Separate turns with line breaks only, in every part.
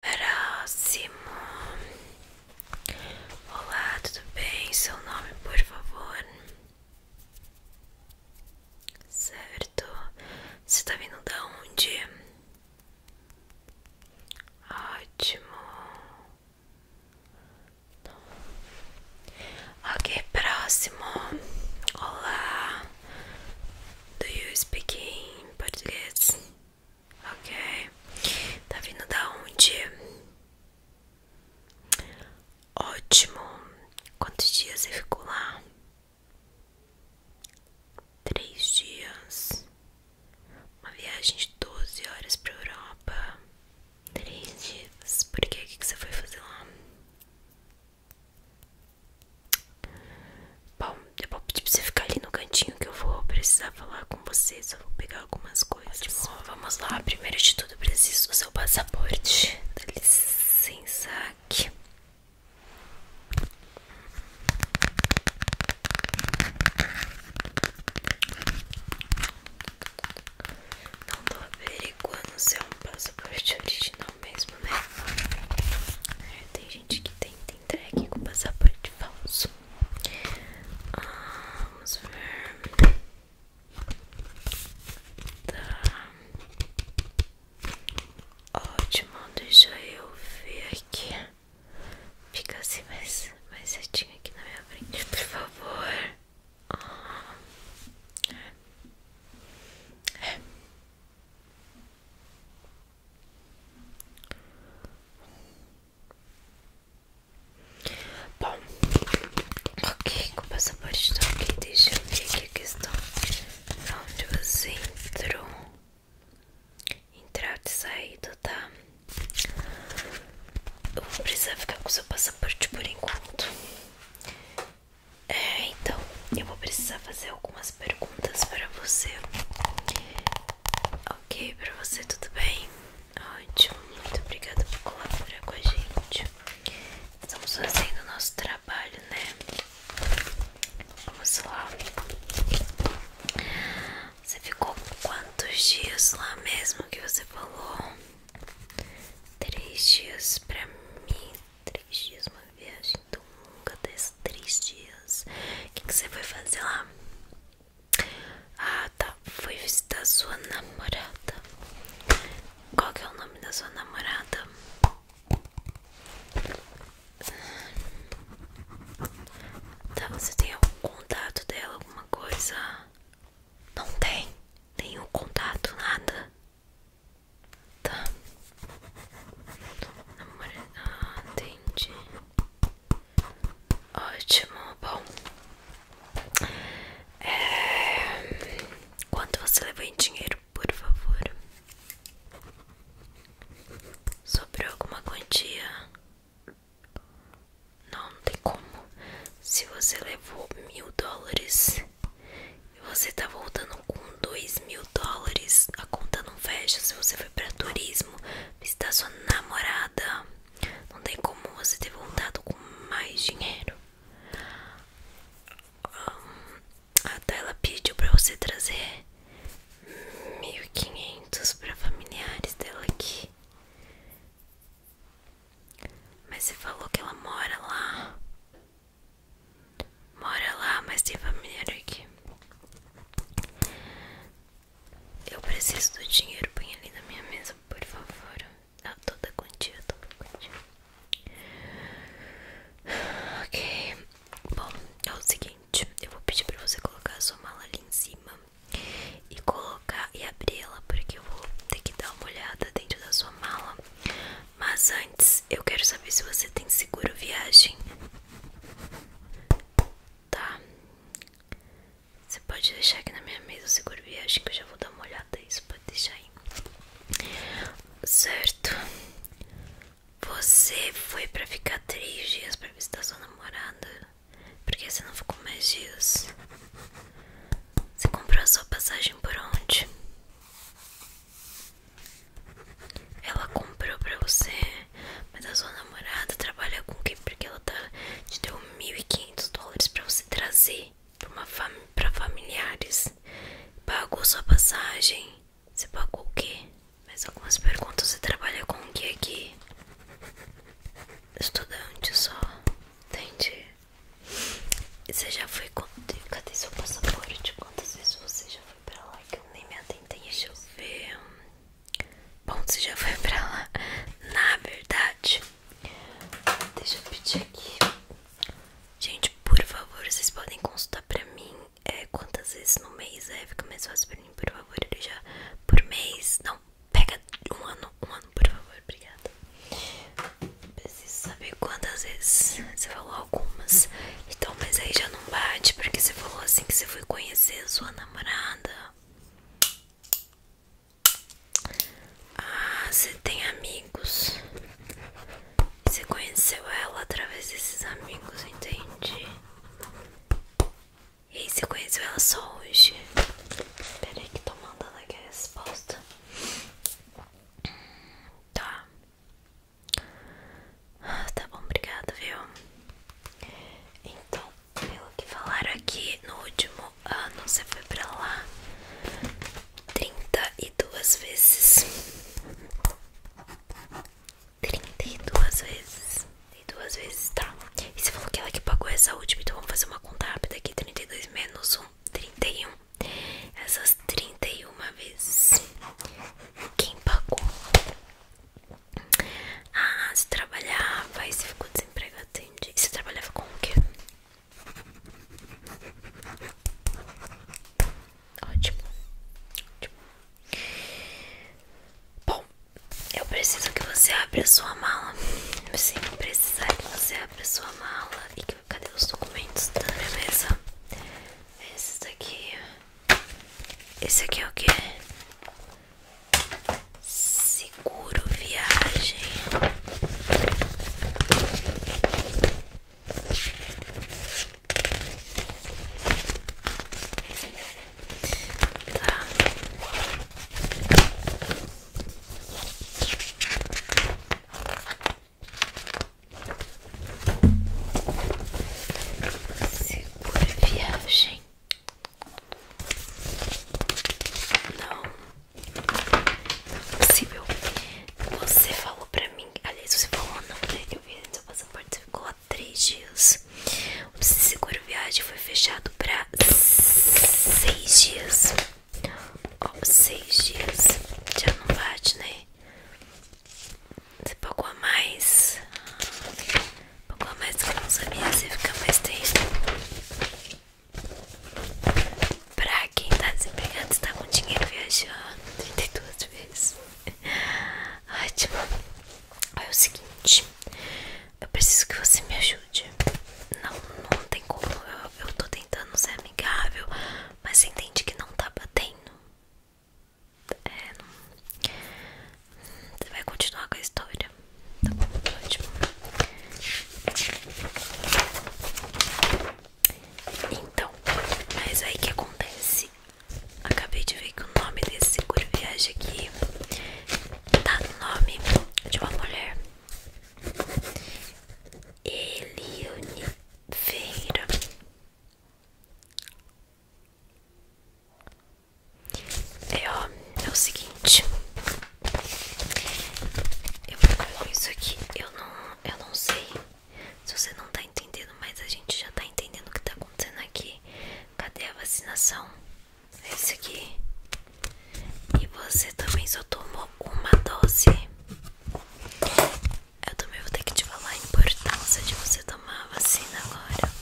Próximo. Olá, tudo bem? Seu nome, por favor. Certo. Você tá vindo de onde? Ótimo. Ok, próximo. Olá. Do you speak in português? Ok. Tá vindo da onde? Ótimo. Quantos dias você ficou lá? Três dias. Uma viagem de 12 horas pra Europa. Três dias. Por que, que você foi fazer lá? Bom, eu vou pedir pra você ficar ali no cantinho que eu vou precisar falar com você. eu vou pegar algumas coisas. Ótimo. Vamos lá, primeiro de tudo preciso do seu passaporte. Dá licença aqui. Não tô averiguando se é um passaporte original mesmo, né? É, tem gente que tem entregue com passaporte falso. Ah, vamos ver. Tá. Ótimo, deixa eu ver aqui. Fica assim mais, mais aqui na minha frente, por favor. Ah. É. Bom, ok, com o passaporte estou aqui. Deixa eu ver aqui a questão onde você entrou. Entrada e saída, tá? Eu vou precisar ficar com o seu passaporte por enquanto. É, então, eu vou precisar fazer algumas perguntas para você. Ok, para você tudo bem? Ótimo, muito obrigada por colaborar com a gente. Estamos fazendo nosso trabalho, né? Vamos lá. Você ficou quantos dias lá mesmo que você falou? Três dias para mim. Três dias uma viagem nunca desses três dias. O que, você foi fazer lá? Ah, tá. Foi visitar sua namorada. Qual que é o nome da sua namorada? Tá, você tem algum contato dela, alguma coisa? Não tem nenhum contato, nada. Tá. Ah, entendi. Ótimo, bom. É... Quanto você levou em dinheiro, por favor? sobre alguma quantia? Não, não tem como. Se você levou mil dólares, você tá voltando com 2 mil dólares. A conta não fecha se você foi pra turismo visitar sua namorada. Não tem como você ter voltado com mais dinheiro. Ah, a Tayla pediu pra você trazer 1.500 pra familiares dela aqui. Mas você falou que ela mora lá. Mora lá, mas tem família aqui. Eu preciso do dinheiro. Põe ali na minha mesa, por favor. Ah, toda quantia, toda quantia. Ok. Bom, é o seguinte. Eu vou pedir pra você colocar a sua mala ali em cima. E colocar e abrir ela, porque eu vou ter que dar uma olhada dentro da sua mala mas antes, eu quero saber se você tem seguro viagem. Tá. Você pode deixar aqui na minha mesa o seguro viagem que eu já vou dar uma olhada isso, pode deixar aí. Certo. Você foi pra ficar três dias pra visitar sua namorada? Porque você não ficou mais dias? Você comprou a sua passagem por onde? Ela comprou pra você, mas a sua namorada trabalha com o quem? Porque ela tá, te deu 1.500 dólares pra você trazer pra, familiares. Pagou sua passagem. Você pagou o quê? Mas algumas perguntas. Você trabalha com o que aqui? Estudante só. Entendi. Você já foi. Cadê seu passaporte? Quantas vezes você já pra lá que eu nem me atentei. Deixa eu ver. Bom, você já foi pra lá. Na verdade, deixa eu pedir aqui. Gente, por favor, vocês podem consultar pra mim é, quantas vezes no mês é. Fica mais fácil pra mim, por favor. Ele já por mês. Não, pega um ano, um ano, por favor. Obrigada. Preciso saber quantas vezes você falou então, mas aí já não bate, porque você falou assim que você foi conhecer a sua namorada. Ah, você tem amigos. Você conheceu ela através desses amigos, entende E aí, você conheceu ela só hoje? Peraí, que tô mandando aqui a resposta. Tá. Ah, tá bom, obrigada, viu? Então, pelo que falaram aqui, no último ano você foi pra lá 32 vezes. 32 vezes. E duas vezes, tá? E você falou que ela que pagou essa última, então vamos fazer uma conta rápida aqui: 32 menos 1, 31 essas 31 vezes. Quem pagou? Ah, se trabalhava e se ficou desempregado, entendi. Você trabalhava com o quê? Ótimo. Bom, eu preciso que você abra a sua mala. Eu sempre precisar que você abra a sua mala e que Cadê os documentos da minha mesa? Esse daqui. Esse aqui é o que? Seguro viagem. Tá. Segura viagem. Não. Não é possível. Você falou pra mim. Aliás, você falou não, né? Eu vi no seu passaporte. Você ficou há três dias. O seguro viagem foi fechado pra seis dias. Ó, seis dias já não bate, né? Você pagou a mais. Pagou a mais com os amigos e fica mais triste. Pra quem tá desempregado, você tá com dinheiro viajando 32 vezes. Ótimo. É o seguinte. Eu preciso que você me ajude. Não, não tem como. Eu, eu tô tentando ser amigável, mas sem que não tá batendo. É, Você vai continuar com a história. Tá bom, ótimo. Então, mas aí que acontece? Acabei de ver que o nome desse seguro viagem aqui tá no nome de uma mulher. Elione Feira. É, é, o seguinte. Eu vou ficar com isso aqui. Eu não, eu não sei se você não tá entendendo, mas a gente já tá entendendo o que tá acontecendo aqui. Cadê a vacinação? É isso aqui. E você também só tomou uma dose. Eu também vou ter que te falar a importância de você tomar a vacina agora.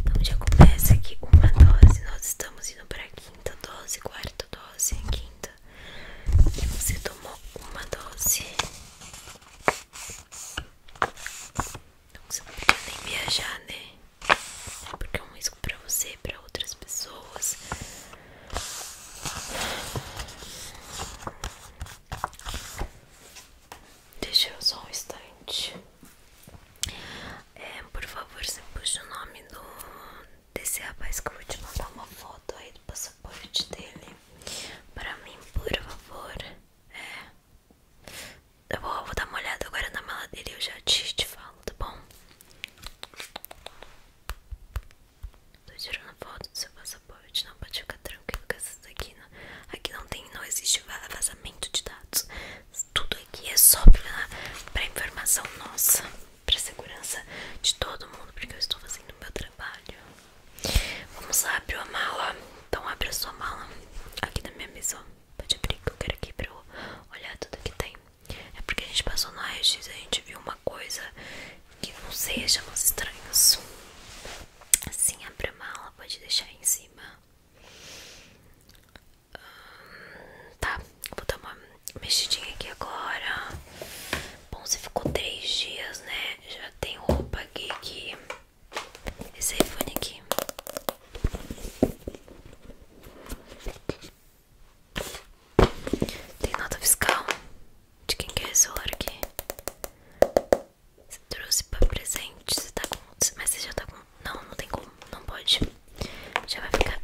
Então já começa aqui uma dose. Nós estamos indo para quinta dose, quarta dose, quinta. E você tomou uma dose. Então você não precisa nem viajar, né? Porque é um risco pra você, pra outras pessoas. Deixa eu só um instante. É, por favor, você puxa o nome do desse rapaz que eu vou te mandar uma foto aí do passaporte dele. Pra mim, por favor. É. Tá eu vou, dar uma olhada agora na mala dele e eu já te falo, tá bom? Tô tirando foto do seu passaporte. Não pode ficar tranquilo com essas daqui. Não. Aqui não tem, não existe vazamento de dados. Tudo aqui é só pra, pra informação nossa, pra segurança de todo mundo, porque eu estou fazendo o meu trabalho. Vamos lá, abriu a mala. Então abre a sua mala aqui na minha mesa. Pode abrir que eu quero aqui pra eu olhar tudo que tem. É porque a gente passou no raio e a gente viu uma coisa que não sei, achamos estranhos. Assim, abre a mala, pode deixar aí em cima. Hum, tá, vou dar uma mexidinha aqui agora. Bom, você ficou três dias, né? Já tem roupa aqui que. Esse iPhone aqui. Tem nota fiscal? De quem quer é esse celular aqui? Você trouxe pra presente? Você tá com... Mas você já tá com... Não, não tem como. Não pode. Já vai ficar...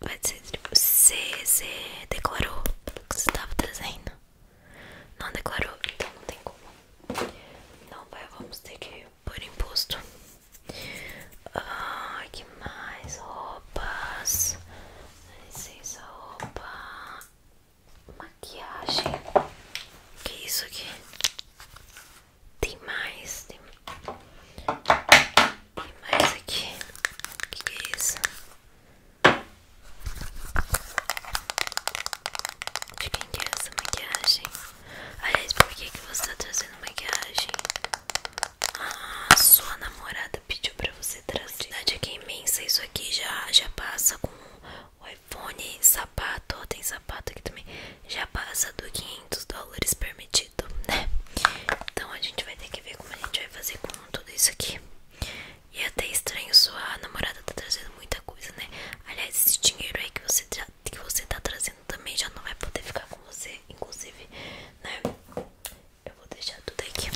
Vai dizer Você, você declarou que você tava trazendo? Não declarou, então não tem como. não vai, vamos ter que por imposto. O ah, que mais roupas? Licença, roupa. Maquiagem. Que isso aqui? Tem mais, tem, mais aqui. Que, que é isso? De quem que é essa maquiagem? Aliás, por que, que você tá trazendo maquiagem? a ah, sua namorada pediu pra você trazer. A quantidade é imensa. Isso aqui já, já passa com o iPhone, sapato. Ó, tem sapato aqui também. Já passa do 500 dólares permitido, né? Então a gente vai ter que ver como a gente vai fazer com tudo isso aqui. E é até estranho, sua namorada tá trazendo muita coisa, né? Aliás, esse dinheiro aí que você, que você tá trazendo também já não vai poder ficar com você, inclusive, né? Eu vou deixar tudo aqui.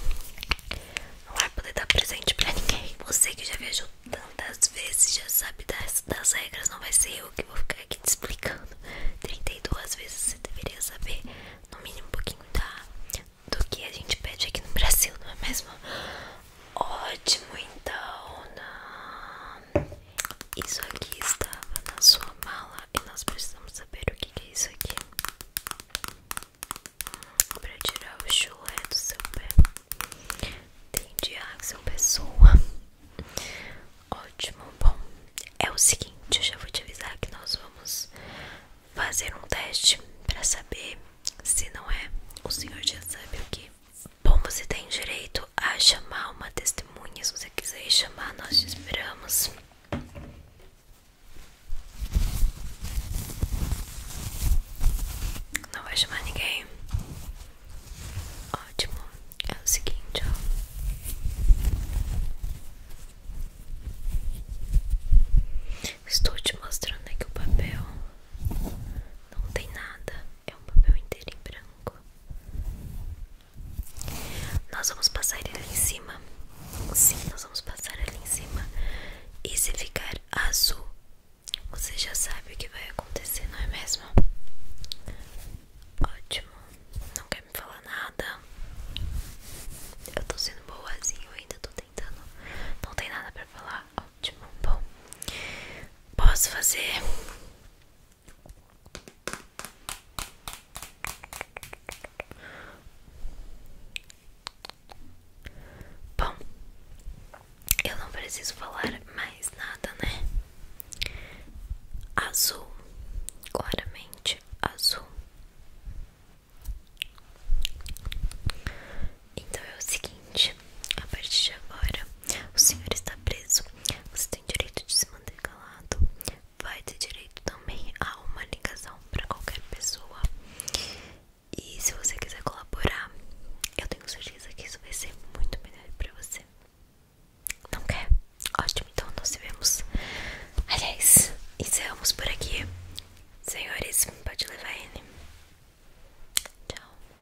Não vai poder dar presente pra ninguém. Você que já viajou tantas vezes já sabe das, das regras. Não vai ser eu que vou ficar aqui te explicando. 32 vezes você deveria saber, no mínimo, um pouquinho da, tá? do que a gente pede aqui no Brasil, não é mesmo? Ótimo, então. Não. Isso aqui estava na sua mala e nós precisamos saber o que é isso aqui para tirar o chulé do seu pé. Entendi, Axel Pessoa. Ótimo, bom. É o seguinte, eu já vou te avisar que nós vamos fazer um teste para saber se não é. O senhor já sabe o que Bom, você tem direito a chamar uma testemunha. Se você quiser chamar, nós te esperamos. Não vai chamar ninguém? Ótimo. É o seguinte, ó. Estou te mostrando aqui o papel. Não tem nada é um papel inteiro em branco. Nós vamos passar ele em cima. Sim, nós vamos passar ele em cima. E se ficar azul, você já sabe o que vai acontecer, não é mesmo? Ótimo. Não quer me falar nada. Eu tô sendo boazinho ainda, tô tentando. Não tem nada pra falar. Ótimo. Bom, posso fazer Bom, eu não preciso falar mais nada, né? Azul, claramente azul. Então é o seguinte seguinte: a partir de agora, o senhor está preso. Você tem direito de se manter calado. Vai ter direito também a uma ligação para qualquer pessoa. E se você quiser colaborar, eu tenho certeza que isso vai ser muito melhor para você. Não quer? Ótimo, então nós vemos. Aliás, encerramos por aqui. Senhores, pode levar ele. Tchau.